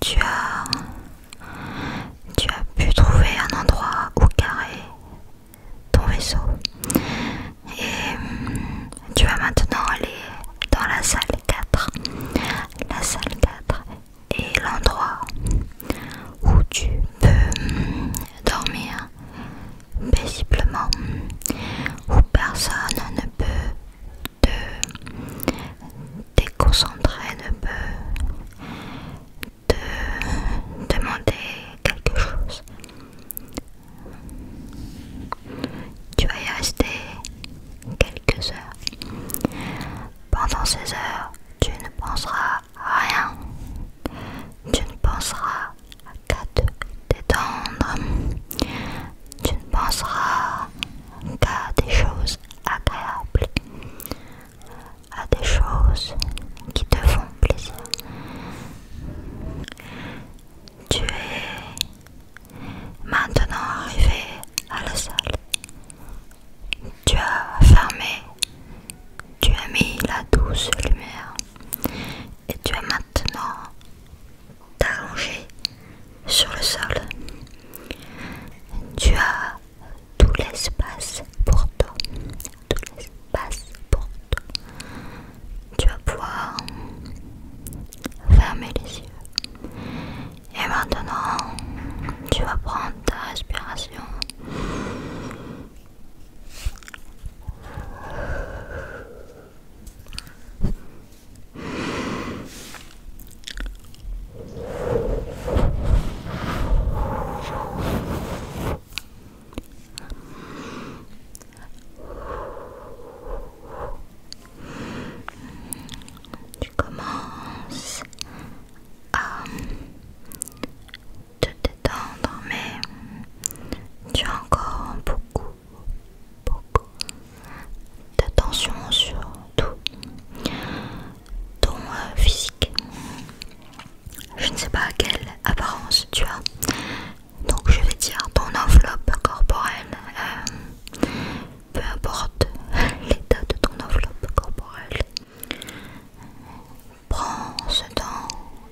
Tu as, tu as pu trouver un endroit où carrer ton vaisseau et tu vas maintenant aller dans la salle 4. La salle 4 est l'endroit où tu peux hum, dormir paisiblement, où personne ne peut te déconcentrer, ne peut te demander quelque chose. Tu vas y rester quelques heures. Pendant ces heures, tu ne penseras rien. Tu ne penseras qu'à te détendre. Tu ne penseras qu'à des choses agréables, à des choses qui te font plaisir. Tu es maintenant arrivé à la salle tu as fermé, tu as mis la douce lumière et tu as maintenant t'arranger sur le sol. Tu as tout l'espace pour toi, tout l'espace pour toi. Tu vas pouvoir fermer les yeux. Et maintenant, tu vas prendre ta respiration. Tu commences à euh, te détendre, mais tu as encore beaucoup, beaucoup d'attention sur tout ton euh, physique. Je ne sais pas à quelle apparence tu as, donc je vais dire ton enveloppe corporelle. Euh, peu importe l'état de ton enveloppe corporelle. Prends ce temps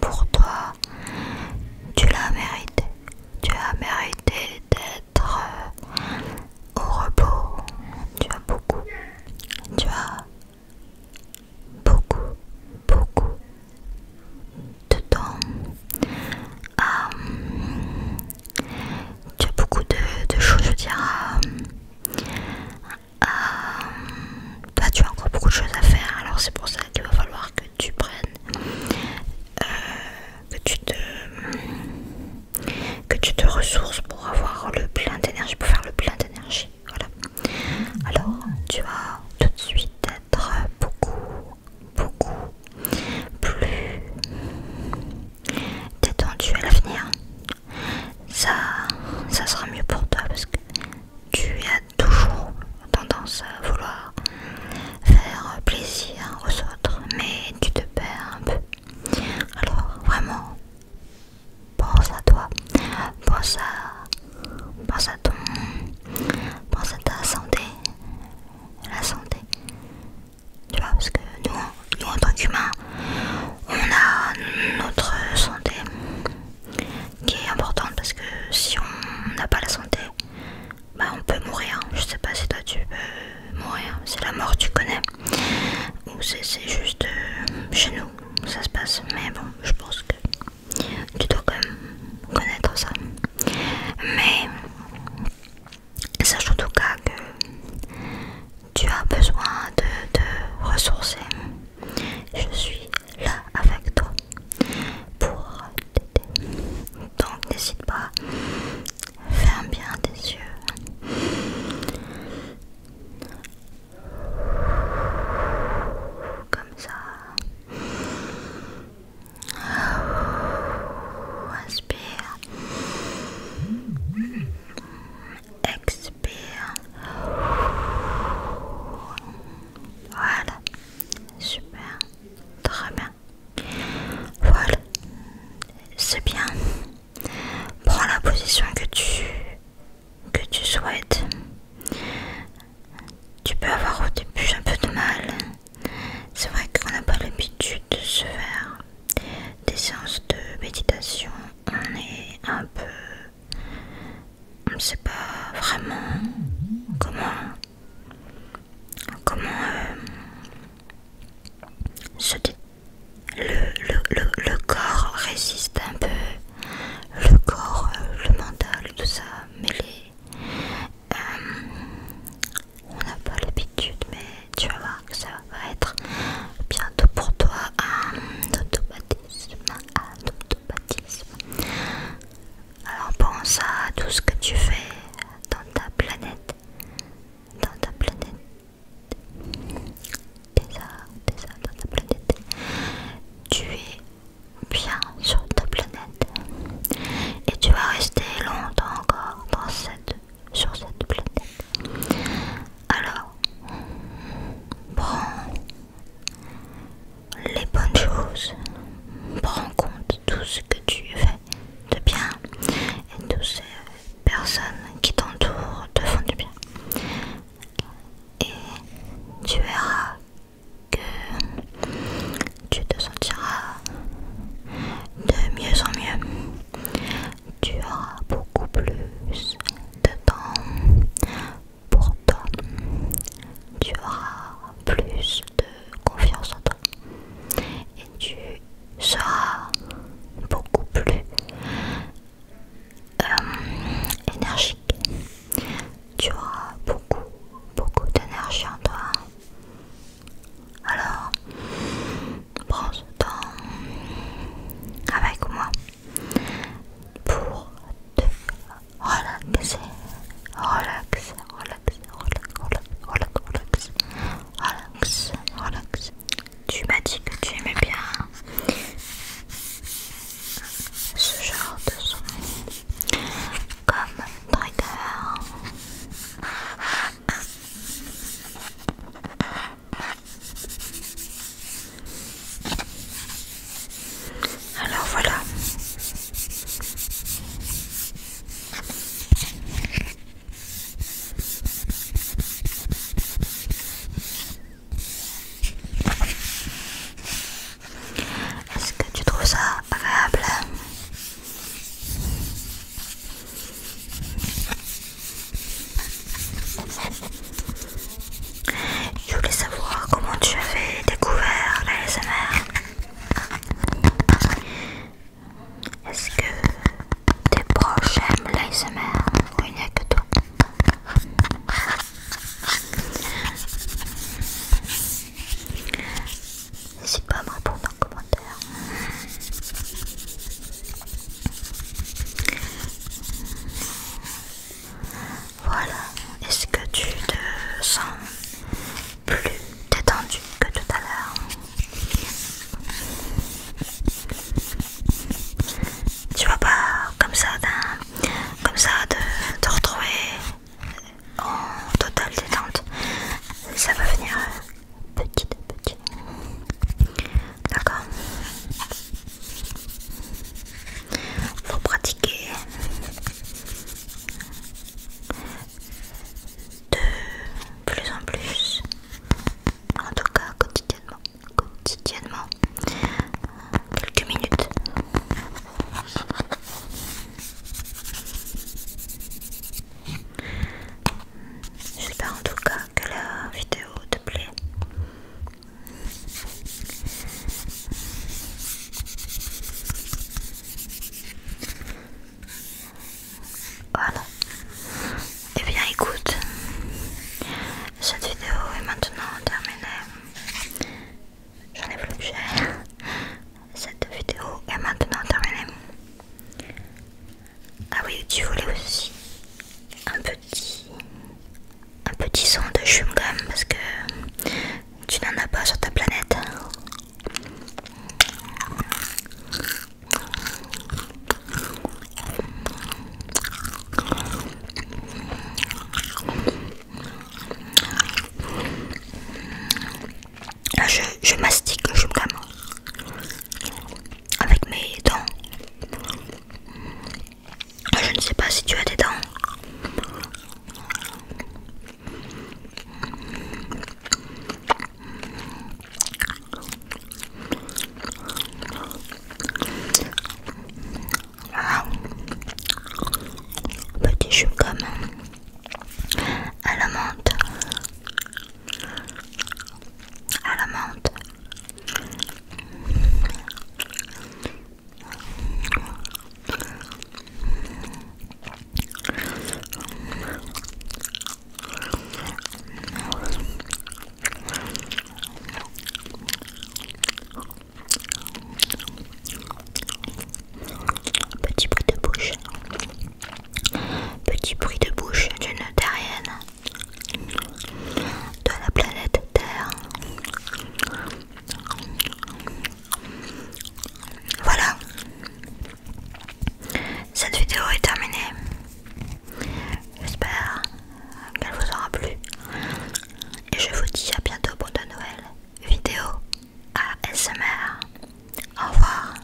pour toi. Tu l'as mérité. Tu as mérité d'être euh, au repos. Tu as beaucoup. Tu as beaucoup, beaucoup de temps à hum, tu as beaucoup de, choses, euh, euh, bah, tu as encore beaucoup de choses à faire, alors c'est pour ça qu'il va falloir que tu prennes, euh, que tu te, que tu te ressources pour avoir le plein d'énergie, pour faire le plein d'énergie. Voilà. Alors, tu vas tout de suite être beaucoup, beaucoup, plus détendu à l'avenir. Ça, ça sera mieux pour toi parce que tu as toujours tendance à vouloir faire plaisir aux autres, mais tu te perds un peu. Alors vraiment, pense à toi, pense à, pense à ton, pense à ta santé, la santé, tu vois, parce que nous, en tant qu'humains, on a notre santé qui est importante parce que si on n'a pas la santé, bah on peut mourir. Je sais pas si toi tu peux mourir, c'est la mort, tu connais, ou c'est juste euh, chez nous ça se passe, mais bon, je pense que tu dois quand même connaître ça. Mais Sache en tout cas que tu as besoin de ressources ressourcer. Je suis là avec toi pour t'aider. Donc n'hésite pas, ferme bien tes yeux. Comme ça. Inspire. Expire. Voilà. Super. Très bien. Voilà. C'est bien. Prends la position que tu que tu souhaites. Tu peux avoir au début un peu de mal c'est vrai qu'on n'a pas l'habitude de se faire des séances de méditation. On est un peu... On ne sait pas vraiment comment... Comment... Euh, le, corps résiste un peu. Le corps, euh, le mental, tout ça. mêlé euh, on n'a pas l'habitude, mais tu vas voir que ça va être bientôt pour toi un automatisme. Un Alors pense à tout ce que tu fais dans ta planète. Dans ta planète. t'es tes dans ta planète. Tu es bien sur ta planète. Et tu vas rester longtemps encore dans cette, sur cette planète. Alors, prends les bonnes choses. Prends compte tout ce que tu fais de bien et toutes ces personnes qui t'entourent te font du bien. Et tu verras que tu te sentiras de mieux en mieux. Tu auras beaucoup plus de temps pour toi. Tu auras plus de confiance en toi. Et tu seras beaucoup plus euh, énergique tu auras beaucoup, beaucoup d'énergie en toi. Alors, prends ce temps avec moi pour te relaxer, relax, relax, relax, relax, relax, relax, relax. Tu m'as dit que tu aimais bien ce genre de son comme trigger. Alors voilà. Est-ce que tu trouves ça agréable Je voulais savoir comment tu avais découvert l'ASMR Est-ce que tes proches aiment l'ASMR ou il n'y a que toi N'hésite pas à me répondre en commentaire. Voilà, est-ce que tu te sens plus détendu que tout à l'heure tu vas pas comme ça, comme ça de te retrouver en totale détente. Ça va venir euh, petit à petit. D'accord Faut pratiquer de plus en plus, en tout cas quotidiennement quotidiennement quelques minutes. J'espère en tout cas que la vidéo te plaît. Voilà. Et eh bien écoute, cette vidéo est maintenant terminée. J'en ai plus cher Cette vidéo est maintenant terminée. Ah oui, tu voulais aussi un petit, un petit son de chewing-gum parce que tu n'en as pas sur ta planète je, mastique je avec mes dents. Je ne sais pas si tu as des dents. Ah. Petit chewing comme hein. à la menthe, à la menthe. Petit bruit de bouche. Petit bruit de bouche d'une terrienne de la planète Terre. Voilà, cette vidéo est terminée. J'espère qu'elle vous aura plu. Et je vous dis à bientôt pour de nouvelles vidéos ASMR. Au revoir.